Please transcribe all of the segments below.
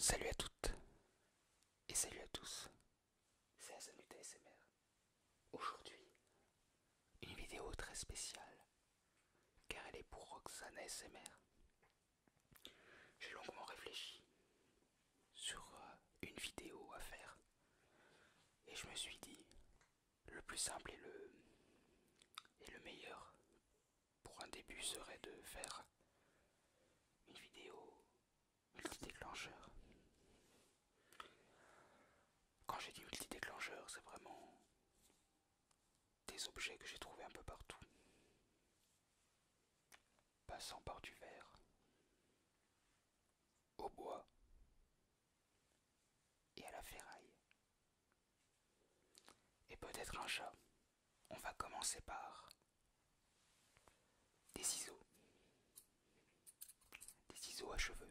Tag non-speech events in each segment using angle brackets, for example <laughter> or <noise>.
Salut à toutes et salut à tous, c'est minutes Smr. Aujourd'hui, une vidéo très spéciale, car elle est pour Roxane Smr. J'ai longuement réfléchi sur euh, une vidéo à faire, et je me suis dit, le plus simple et le meilleur pour un début serait de faire une vidéo Multi-déclencheur. Quand j'ai dit multi-déclencheur, c'est vraiment des objets que j'ai trouvés un peu partout. Passant par du verre, au bois et à la ferraille. Et peut-être un chat. On va commencer par des ciseaux, des ciseaux à cheveux,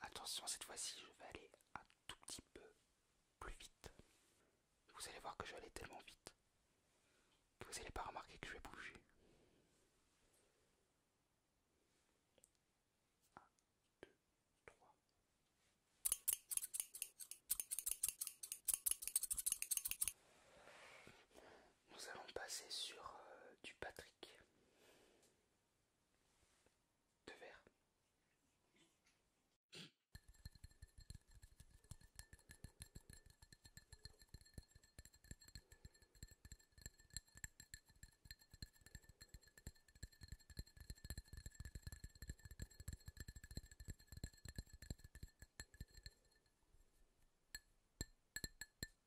Attention, cette fois-ci, je vais aller un tout petit peu plus vite. Vous allez voir que je vais aller tellement vite que vous n'allez pas remarquer que je vais bouger. Nous allons passer sur euh, du Patrick. Deux verres.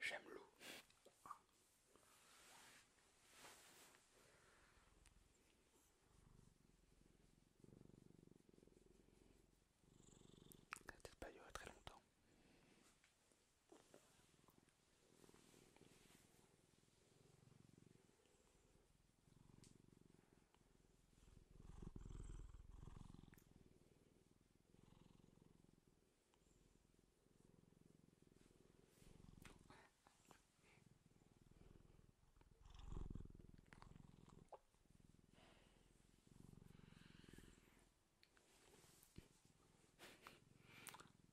J'aime l'eau. Ça peut pas durer très longtemps.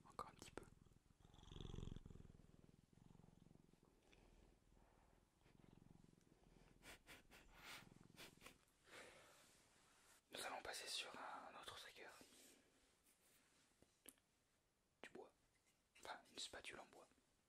Encore un petit peu. Nous allons passer sur un autre trigger. Du bois. Enfin, une spatule en bois.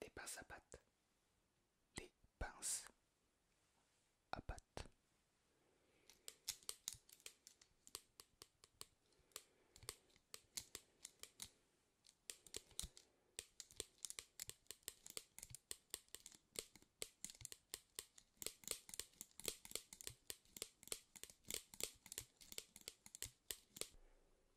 des pinces à patte, des pinces à pattes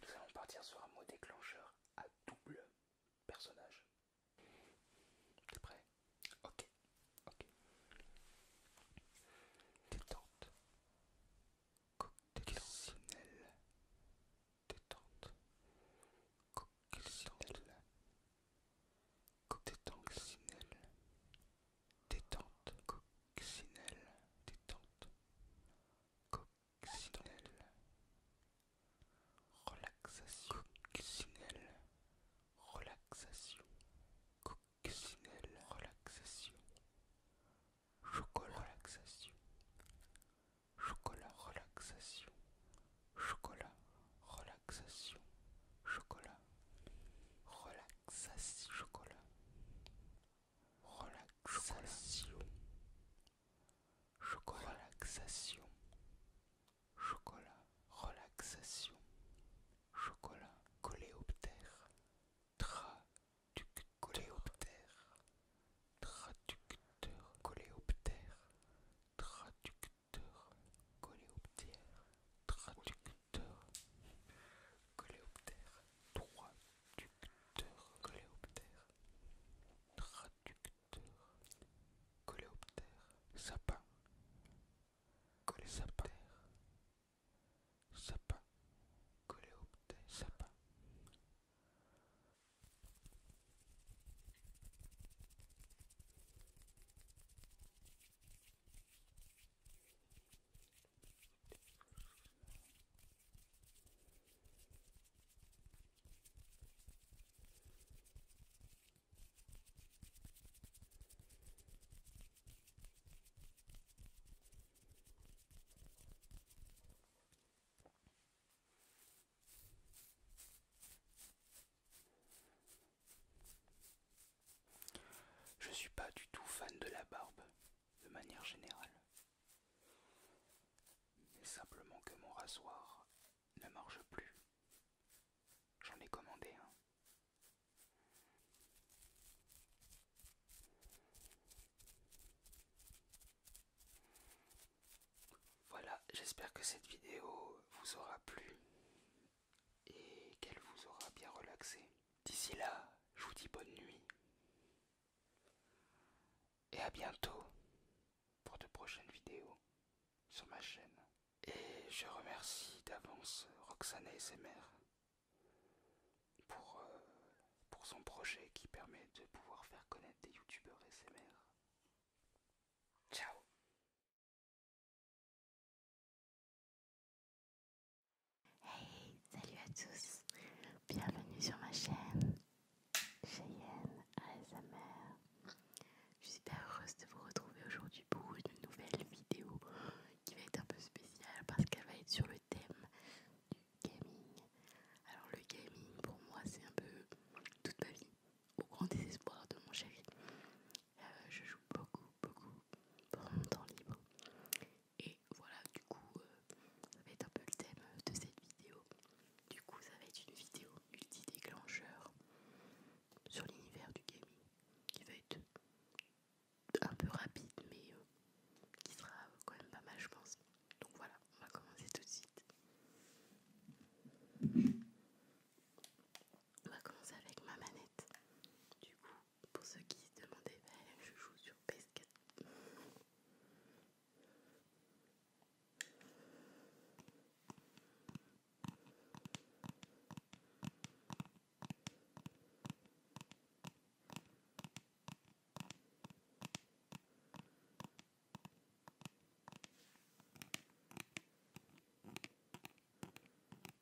Nous allons partir sur un mot déclencheur à double personnage. T'es prêt Ok, ok. Détente. Coccinelle. Détente. Coccinelle. Coccinelle détente, coccinelle, détente, coccinelle, relaxation, relaxation, coccinelle, relaxation, chocolat, relaxation, chocolat, relaxation, chocolat, relaxation, chocolat, relaxation chocolat relaxation chocolat relaxation chocolat relaxation chocolat coléoptère traducteur traducteur coléoptère traducteur coléoptère traducteur, coléoptère, traducteur, coléoptère, traducteur, coléoptère, sapin, coléoptère, sapin, coléoptère, sapin. Je suis pas du tout fan de la barbe, de manière générale, simplement que mon rasoir ne marche plus. J'en ai commandé un. Voilà, j'espère que cette vidéo vous aura plu et qu'elle vous aura bien relaxé. D'ici là, je vous dis bonne nuit. Et à bientôt pour de prochaines vidéos sur ma chaîne. Et je remercie d'avance Roxane SMR pour, euh, pour son projet qui permet de pouvoir faire connaître des youtubeurs SMR. Ciao Hey, salut à tous, bienvenue sur ma chaîne Cheyenne ASMR. Je suis heureuse de vous retrouver aujourd'hui pour une nouvelle vidéo qui va être un peu spéciale parce qu'elle va être sur le thème du gaming. Alors le gaming pour moi c'est un peu toute ma vie, au grand désespoir de mon chéri. Euh, je joue beaucoup, beaucoup pendant mon temps libre. Et voilà, du coup, euh, ça va être un peu le thème de cette vidéo. Du coup, ça va être une vidéo multi-déclencheur sur l'univers du gaming qui va être un peu rapide, mais euh, qui sera quand même pas mal, je pense. Donc voilà, on va commencer tout de suite. On va commencer avec ma manette. Du coup, pour ceux qui se demandaient, ben, je joue sur ps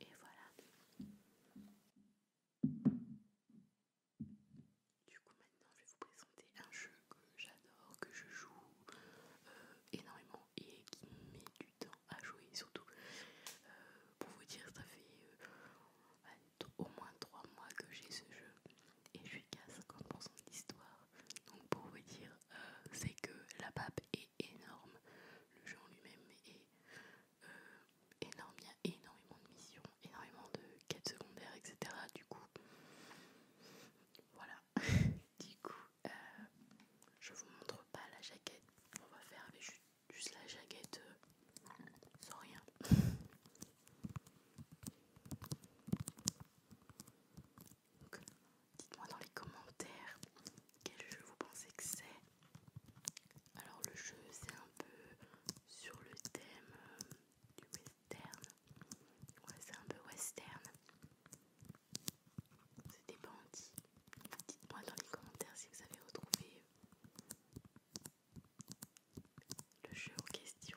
Et voilà. Du coup maintenant je vais vous présenter un jeu que j'adore, que je joue euh, énormément et qui met du temps à jouer surtout. Euh, pour vous dire, ça fait euh, au moins 3 mois que j'ai ce jeu et je suis qu'à 50% son Donc pour vous dire, euh, c'est que la pape est énorme, le jeu en lui-même est énorme, il y a énormément de missions, énormément de quêtes secondaires, etc. Du coup, voilà. <laughs> du coup, euh, je vous montre pas la jaquette. On va faire avec juste, la jaquette euh, sans rien. dites-moi dans les commentaires quel jeu vous pensez que c'est. Alors le jeu c'est un peu sur le thème euh, du western. Ouais c'est un peu western. C'était Dites-moi dans les commentaires si vous avez retrouvé euh, le jeu en question.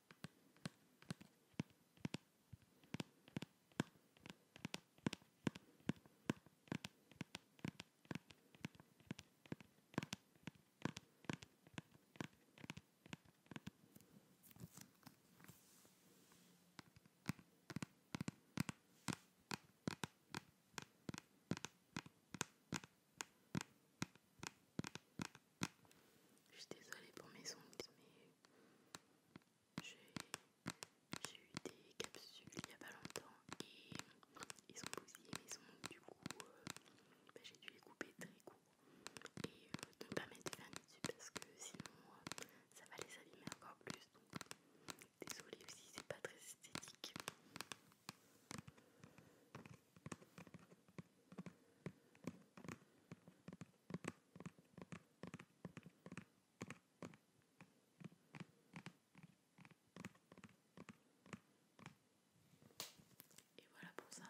Je suis désolée pour mes ondes, mais j'ai eu des capsules il y a pas longtemps et ils sont bousillés, mais ils ont du coup, euh, bah, j'ai dû les couper très court et euh, ne pas mettre de dessus parce que sinon euh, ça va les abîmer encore plus. Donc désolée aussi c'est pas très esthétique. Et voilà pour ça.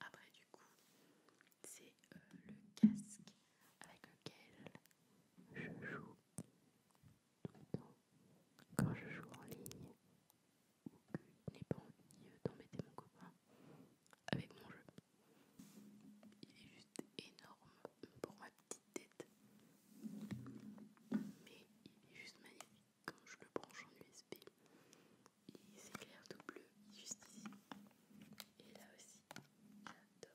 Après du coup, c'est euh, le casque avec lequel je joue tout le temps quand je joue en ligne n'est pas d'embêter mon copain avec mon jeu. Il est juste énorme pour ma petite tête. Mais il est juste magnifique quand je le branche en USB. Il s'éclaire tout bleu juste ici. Et là aussi, j'adore.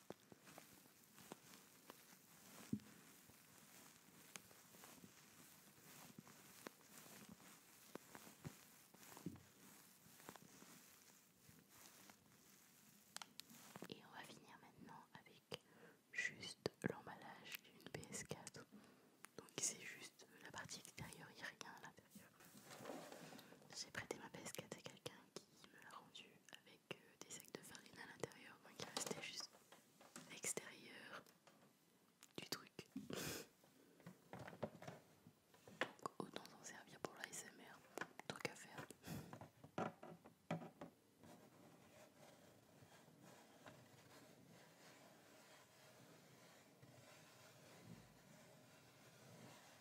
Et on va finir maintenant avec juste l'emballage d'une PS4. Donc c'est juste la partie extérieure, il n'y a rien à l'intérieur. J'ai prêté ma PS4 à quelqu'un qui il me l'a rendu avec euh, des sacs de farine à l'intérieur, moi qui restait juste l'extérieur du truc. Donc autant s'en servir pour l'ASMR, truc à faire.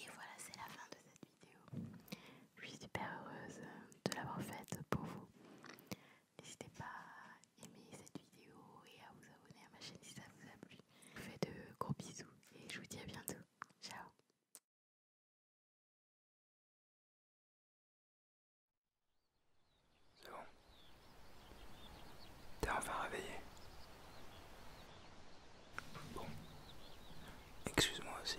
Et voilà, c'est la fin de cette vidéo. Je suis super heureuse de l'avoir faite pour vous. N'hésitez pas à aimer cette vidéo et à vous abonner à ma chaîne si ça vous a plu. Je vous fais de gros bisous et je vous dis à bientôt. Ciao c'est bon. T'es enfin réveillé. Bon. Excuse-moi si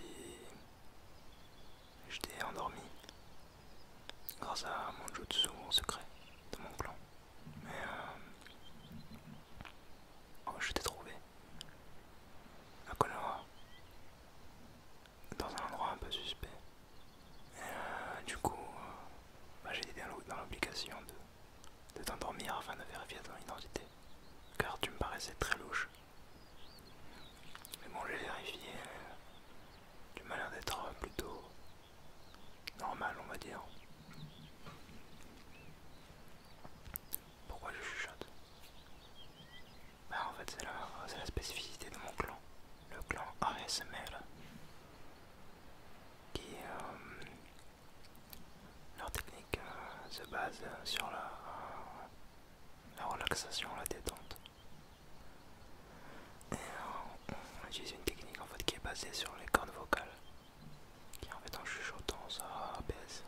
j'étais endormi grâce à mon jutsu en secret de mon clan. Mais euh... oh, je t'ai trouvé à Konoha dans un endroit un peu suspect. Et, euh, du coup, euh, bah, j'ai été dans l'obligation de de t'endormir afin de vérifier ton identité, car tu me paraissais très louche. Mais bon, j'ai vérifié, tu m'as l'air d'être euh, plutôt normal, on va dire. Pourquoi je chuchote Bah, en fait, c'est la, spécificité de mon clan, le clan ASMR qui euh, leur technique euh, se base sur la, relaxation, la détente. Et euh, on utilise une technique en fait qui est basée sur les cordes vocales, qui en fait en chuchotant ça apaise.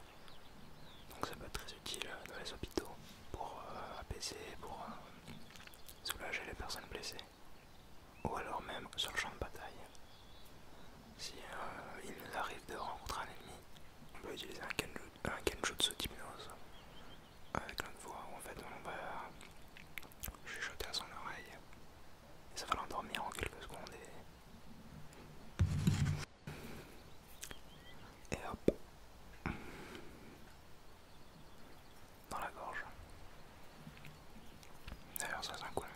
Donc ça peut être très utile dans les hôpitaux pour apaiser, pour soulager les personnes blessées ou alors même sur le champ de bataille. Si euh, il nous arrive de rencontrer un ennemi, on peut utiliser un kenjutsu un d'hypnose avec notre voix où en fait on va chuchoter à son oreille et ça va l'endormir en quelques secondes et hop dans la gorge. D'ailleurs, ça c'est un coup euh,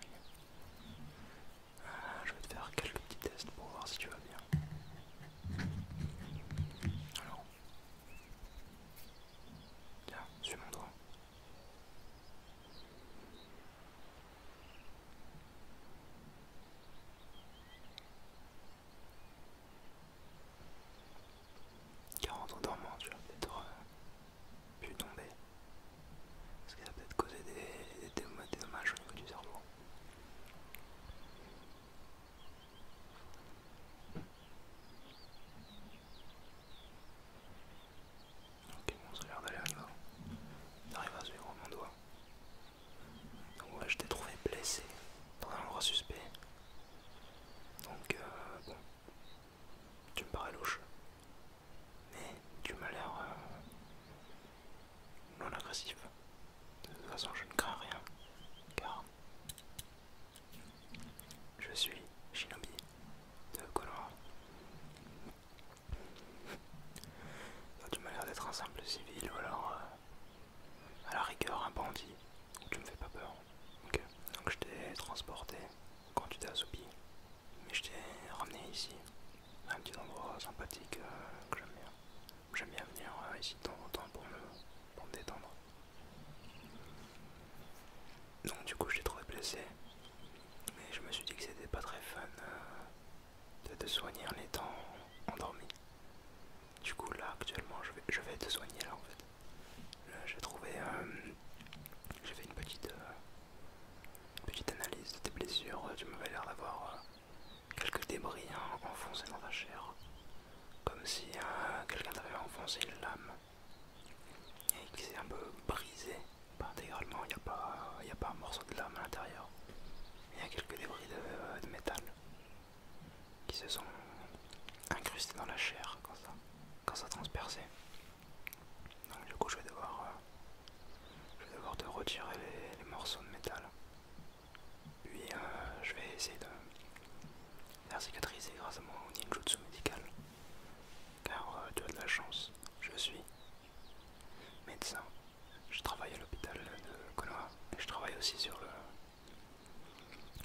Je vais te faire quelques petits tests pour voir si tu vas bien. Alors, tiens, suis mon doigt. Car entre dormant, tu vas peut-être euh, pu tomber. Parce qu'il a peut-être causé des, des dommages au niveau du cerveau. Ok, bon, ça a l'air d'aller à se J'arrive à suivre mon doigt. Donc, ouais, je t'ai trouvé blessé dans un endroit suspect. Donc, euh, tu me parais louche. Mais tu m'as l'air euh, non agressif. De toute façon, je ne crains rien. Car je suis Shinobi de Konoha. tu m'as l'air d'être un simple civil ou alors euh, à la rigueur un bandit. Tu me fais pas peur. Donc je t'ai transporté quand tu t'es assoupi mais je t'ai ramené ici, un petit endroit sympathique euh, que j'aime bien. J'aime bien venir euh, ici de temps en temps pour me, détendre. Donc du coup je t'ai trouvé blessé, mais je me suis dit que c'était pas très fun euh, de te soigner en étant endormi. Du coup là actuellement je vais, te soigner là en fait. J'ai trouvé, j'ai fait une petite, Petite analyse de tes blessures, euh, tu m'avais l'air d'avoir euh, quelques débris hein, enfoncés dans ta chair. Comme si euh, quelqu'un t'avait enfoncé une lame et qui s'est un peu brisé. Pas intégralement, il n'y a, pas, un morceau de lame à l'intérieur. Il y a quelques débris de, métal qui se sont incrustés dans la chair quand ça, quand ça transperçait. Donc du coup euh, je vais devoir, te retirer les, morceaux de métal. Puis euh, je vais essayer de faire cicatriser grâce à mon ninjutsu médical. Car euh, tu as de la chance, je suis médecin. Je travaille à l'hôpital de Konoha et je travaille aussi sur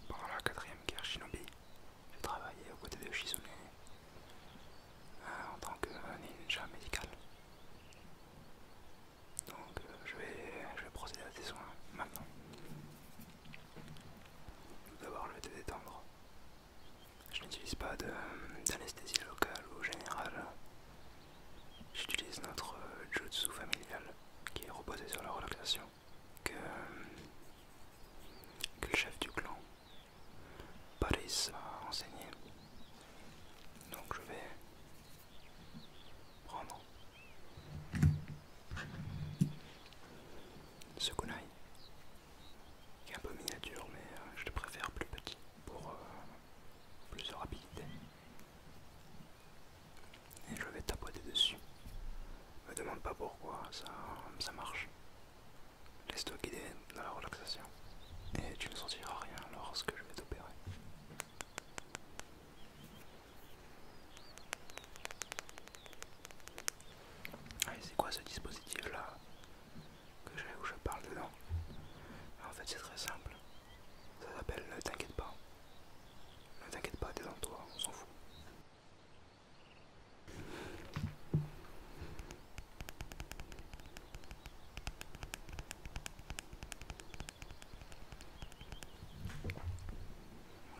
pendant la quatrième guerre shinobi. Je travailler aux côtés de Shizune hein, en tant que ninja médical. Donc euh, je, vais, procéder à des soins maintenant. D'abord le vais détendre. Je n'utilise pas d'anesthésie locale ou générale. J'utilise notre euh, jutsu familial qui est reposé sur la relaxation que le chef du clan Paris m'a enseigné. Donc je vais prendre ce kunai qui est un peu miniature mais euh, je le préfère plus petit pour euh, plus de rapidité. Et je vais tapoter dessus. Me demande pas pourquoi ça marche. Laisse-toi guider dans la relaxation et tu ne sentiras rien lorsque je vais t'opérer. c'est quoi ce dispositif là que j'ai où je parle dedans En fait c'est très simple. Ça s'appelle ne t'inquiète pas. Ne t'inquiète pas, t'es dans toi, on s'en fout.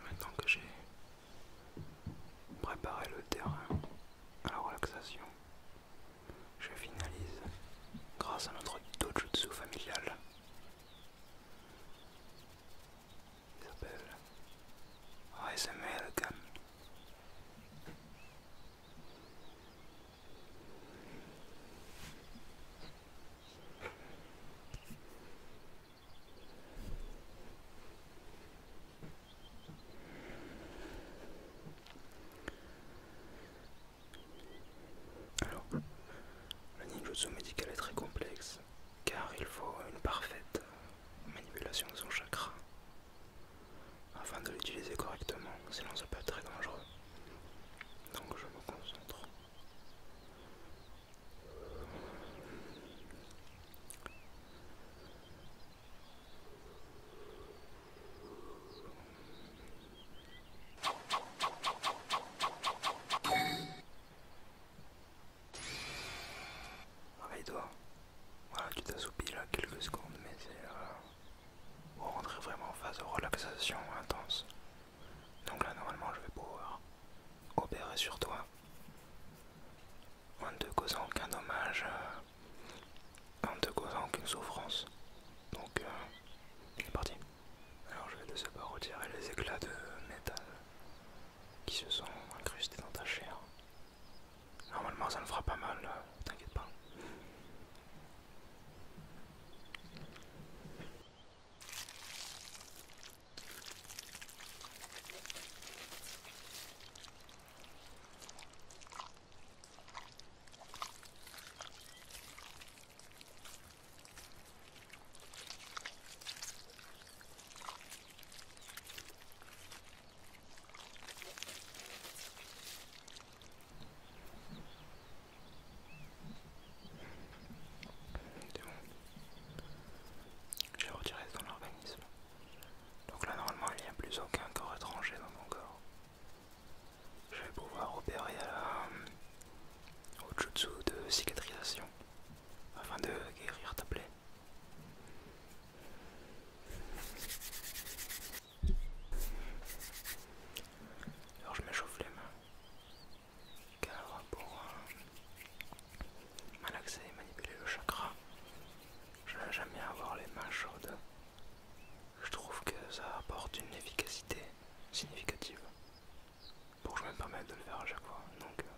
Maintenant que j'ai préparé le terrain à la relaxation, je finalise grâce à notre dojutsu familial. Il s'appelle ASMR alors, le ninjutsu médical est très complexe car il faut une parfaite manipulation de son chakra afin de l'utiliser correctement, sinon ça peut être très dangereux. Donc je me concentre. Réveille-toi. Voilà, tu t'assoupis là quelques secondes, mais c'est pour euh, vraiment en phase de relaxation intense. Donc là, normalement, je vais pouvoir opérer sur toi en ne te causant aucun dommage, euh, en ne te causant aucune souffrance. Donc, euh, il c'est parti. Alors, je vais de ce pas retirer les éclats de métal qui se sont incrustés dans ta chair. Normalement ça ne fera pas mal, euh, t'inquiète pas. J'ai retiré dans l'organisme. Donc là normalement il n'y a plus aucun corps étranger dans mon corps. Je vais pouvoir opérer euh, au jutsu de cicatrisation afin de guérir ta plaie. Alors je m'échauffe les mains car pour malaxer et manipuler le chakra, je n'aime jamais avoir les mains chaudes. Je trouve que ça apporte une efficacité significative pour que je me permette de le faire à chaque fois. Donc euh,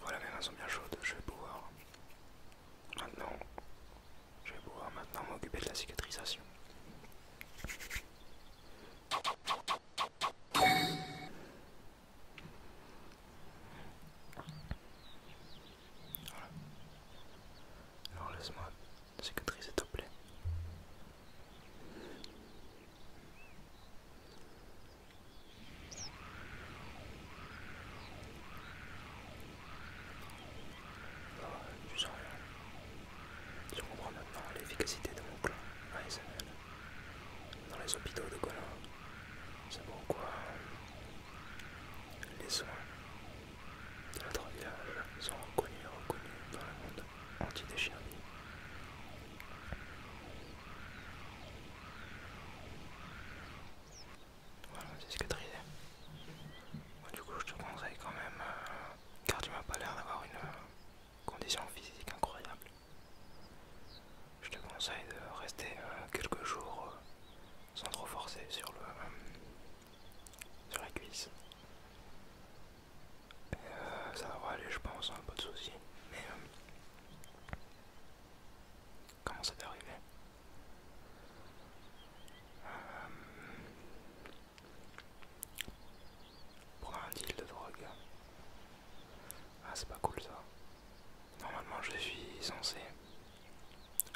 Voilà les sont bien chaudes, je vais pouvoir maintenant je vais pouvoir maintenant m'occuper de la cicatrisation. Alors laisse-moi cicatriser te plaît. Oh, tu comprends maintenant l'efficacité de mon plan dans les hôpitaux de Colomb. C'est quoi. Les soins de notre village sont reconnus et reconnus dans le monde anti anti-déchirer. Voilà, c'est ce cicatrisé. Bon, du coup, je te conseille quand même, euh, car tu m'as pas l'air d'avoir une euh, condition physique incroyable je te conseille de rester euh, quelques jours euh, sans trop forcer sur, le, euh, sur la cuisse. ça va aller, je pense, un hein, pas de soucis. Mais comment ça t'est arrivé pour un deal de drogue. Ah c'est pas cool ça. Normalement, je suis censé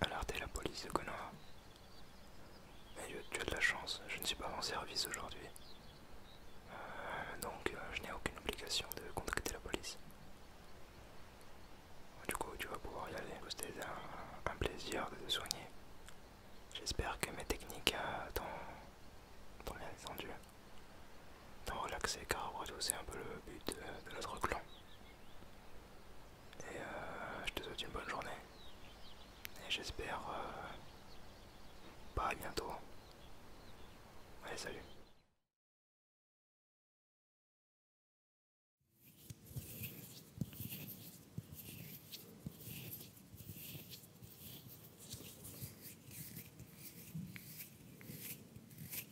alerter la police de Konoha. Mais tu as de la chance, je ne suis pas en service aujourd'hui. Euh, donc, euh, je n'ai aucune obligation de contacter la police. Du coup, tu vas pouvoir y aller. C'était un, plaisir de te soigner. J'espère que mes techniques euh, t'ont bien entendu. T'en relaxer car c'est un peu le but de, notre clan. Et euh, je te souhaite une bonne journée. Et j'espère euh, pas bientôt. Allez salut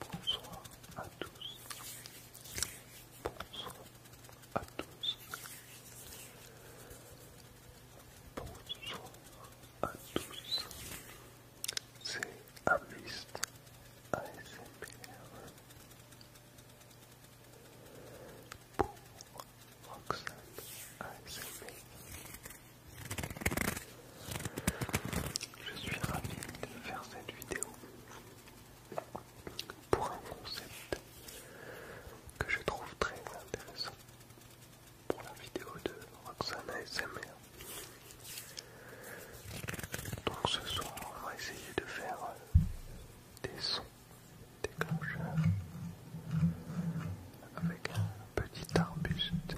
Bonsoir à tous. Bonsoir à tous. Bonsoir à tous. C'est Amist ASMR pour Roxane ASMR. Je suis ravi de faire cette vidéo pour un concept que je trouve très intéressant pour la vidéo de Roxane ASMR. Donc ce soir on va essayer de faire des sons déclencheur avec un petit arbuste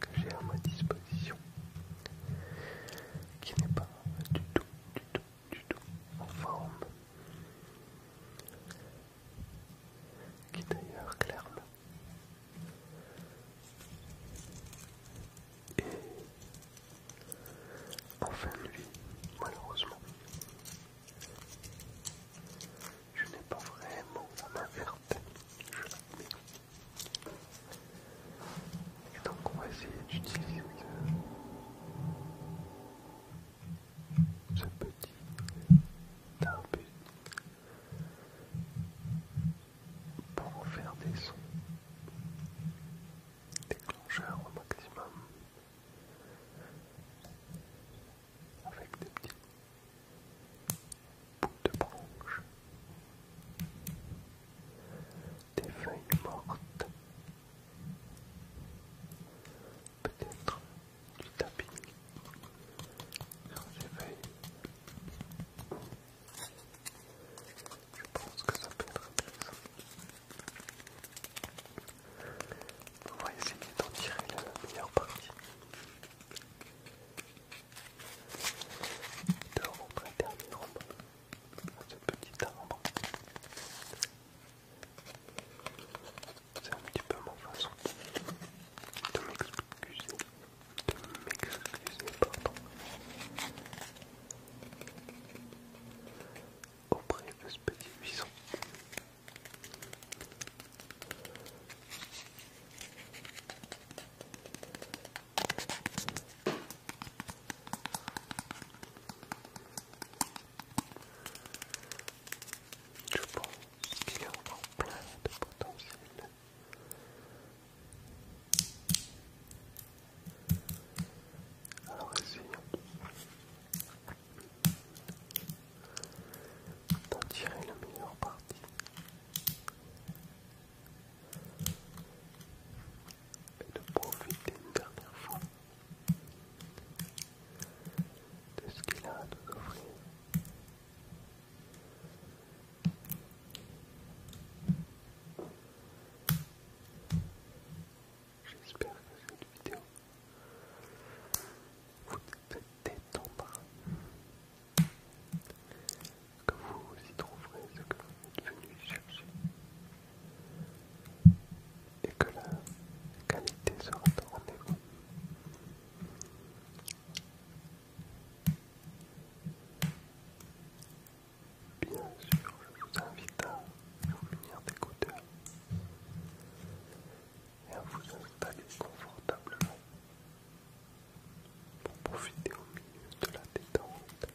que j'ai à ma disposition qui n'est pas du tout, du tout, du tout en forme qui d'ailleurs clairement en fin de malheureusement. Je n'ai pas vraiment la je l'admets. Et donc on va essayer d'utiliser ce, petit tarpé pour en faire des sons déclencheur au maximum avec des petits bouts de branches, des feuilles mortes, peut-être du tapping sur ces je pense que ça peut être intéressant. On va essayer d'en tirer la meilleure partie. De rentrer un à ce petit arbre. C'est un petit peu ma façon de m'excuser, de m'excuser, pardon, auprès de ce petit buisson. Je pense qu'il y a encore plein de potentiel. Alors essayons d'en tirer la meilleure partie. Et de profiter une dernière fois de ce qu'il a à nous offrir. J'espère que cette vidéo vous détendra, que vous y trouverez ce que vous êtes venu chercher et que la qualité sera au rendez Bien sûr, je vous invite à venir venir et à vous installer confortablement pour profiter au milieu de la détente.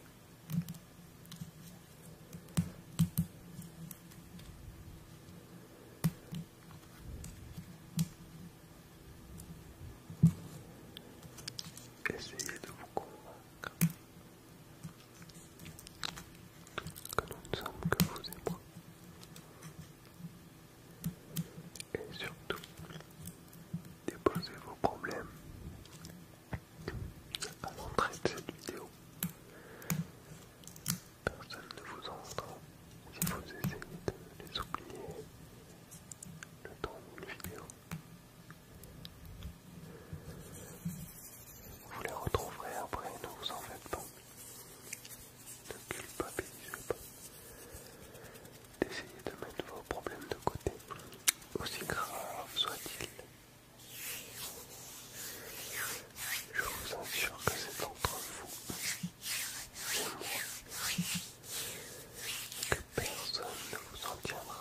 Essayez de vous convaincre que nous ne sommes que vous et moi. Et surtout, déposez vos problèmes à l'entrée de cette vidéo. Personne ne vous entend si vous essayez de les oublier le temps d'une vidéo. Vous les retrouverez après, ne vous en faites pas. de culpabilisez pas. de mettre vos problèmes de côté, aussi graves soient-ils. Je vous assure que c'est entre vous que personne ne vous en tiendra.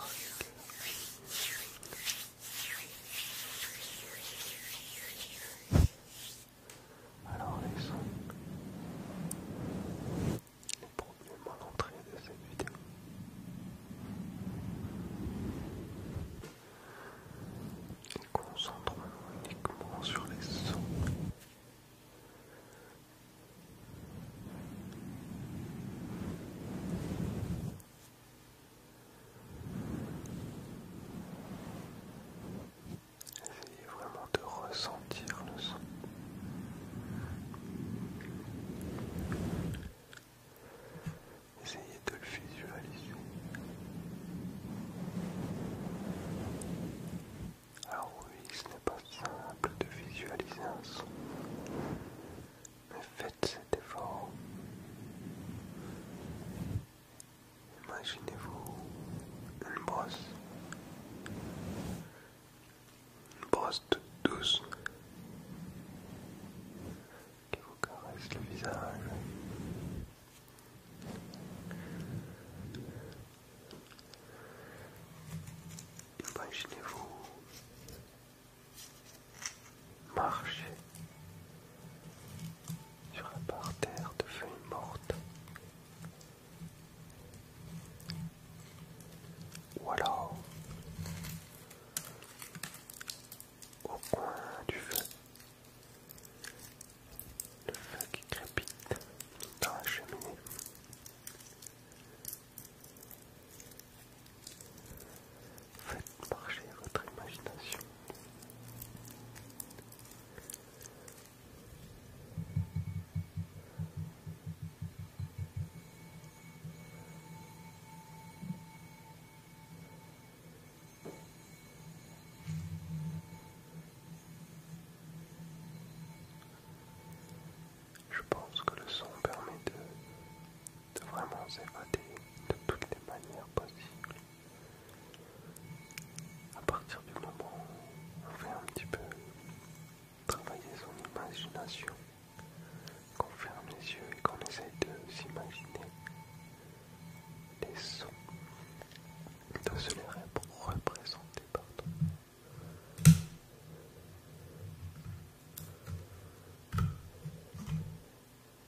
Alors les sons, les problèmes à l'entrée de cette vidéo. Concentrons-nous uniquement sur les sons. Essayez vraiment de ressentir le son. Essayez de le visualiser. Alors ah oui, ce n'est pas simple de visualiser un son mais faites cet effort. Imaginez-vous une brosse, une brosse douce qui vous caresse le visage. Imaginez-vous marcher sur un parterre de feuilles mortes. Voilà, au coin du feu, le feu qui crépite dans la cheminée. Faites marcher votre imagination. Je pense que le son permet de de vraiment s'évader de toutes les manières possibles. À partir du moment où on fait un petit peu travailler son imagination, qu'on ferme les yeux et qu'on essaye de s'imaginer les sons, de se les représenter, partout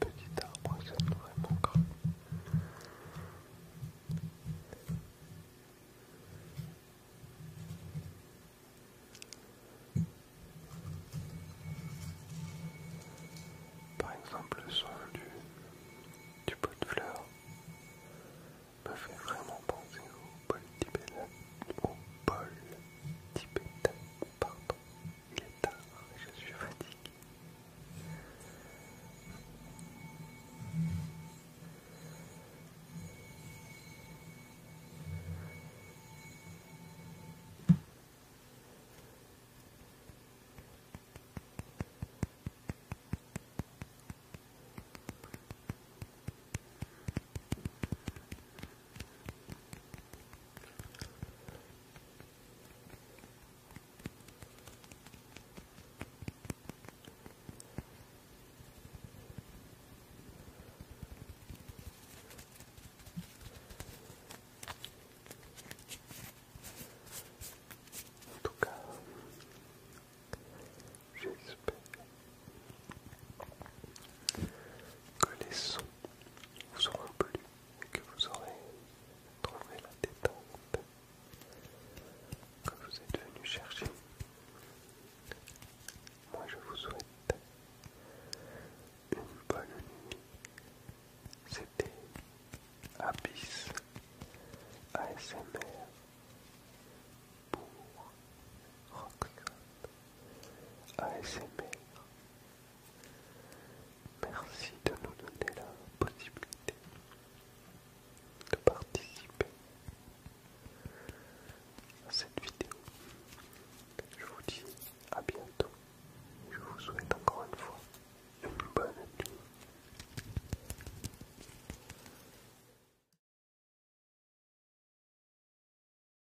Petit arbre qui ça vraiment manquer. Par exemple, le son du, pot de fleurs me fait vraiment penser au pot au bol tibétain. Pardon, il est tard je suis fatigué. En tout cas, j'espère que les sons vous auront plu et que vous aurez trouvé la détente que vous êtes venu chercher. Moi je vous souhaite une bonne nuit. C'était Abyss ASMR pour Roxanne. ASMR. Merci de nous donner la possibilité de participer à cette vidéo. Je vous dis à bientôt. Je vous souhaite encore une fois une bonne nuit.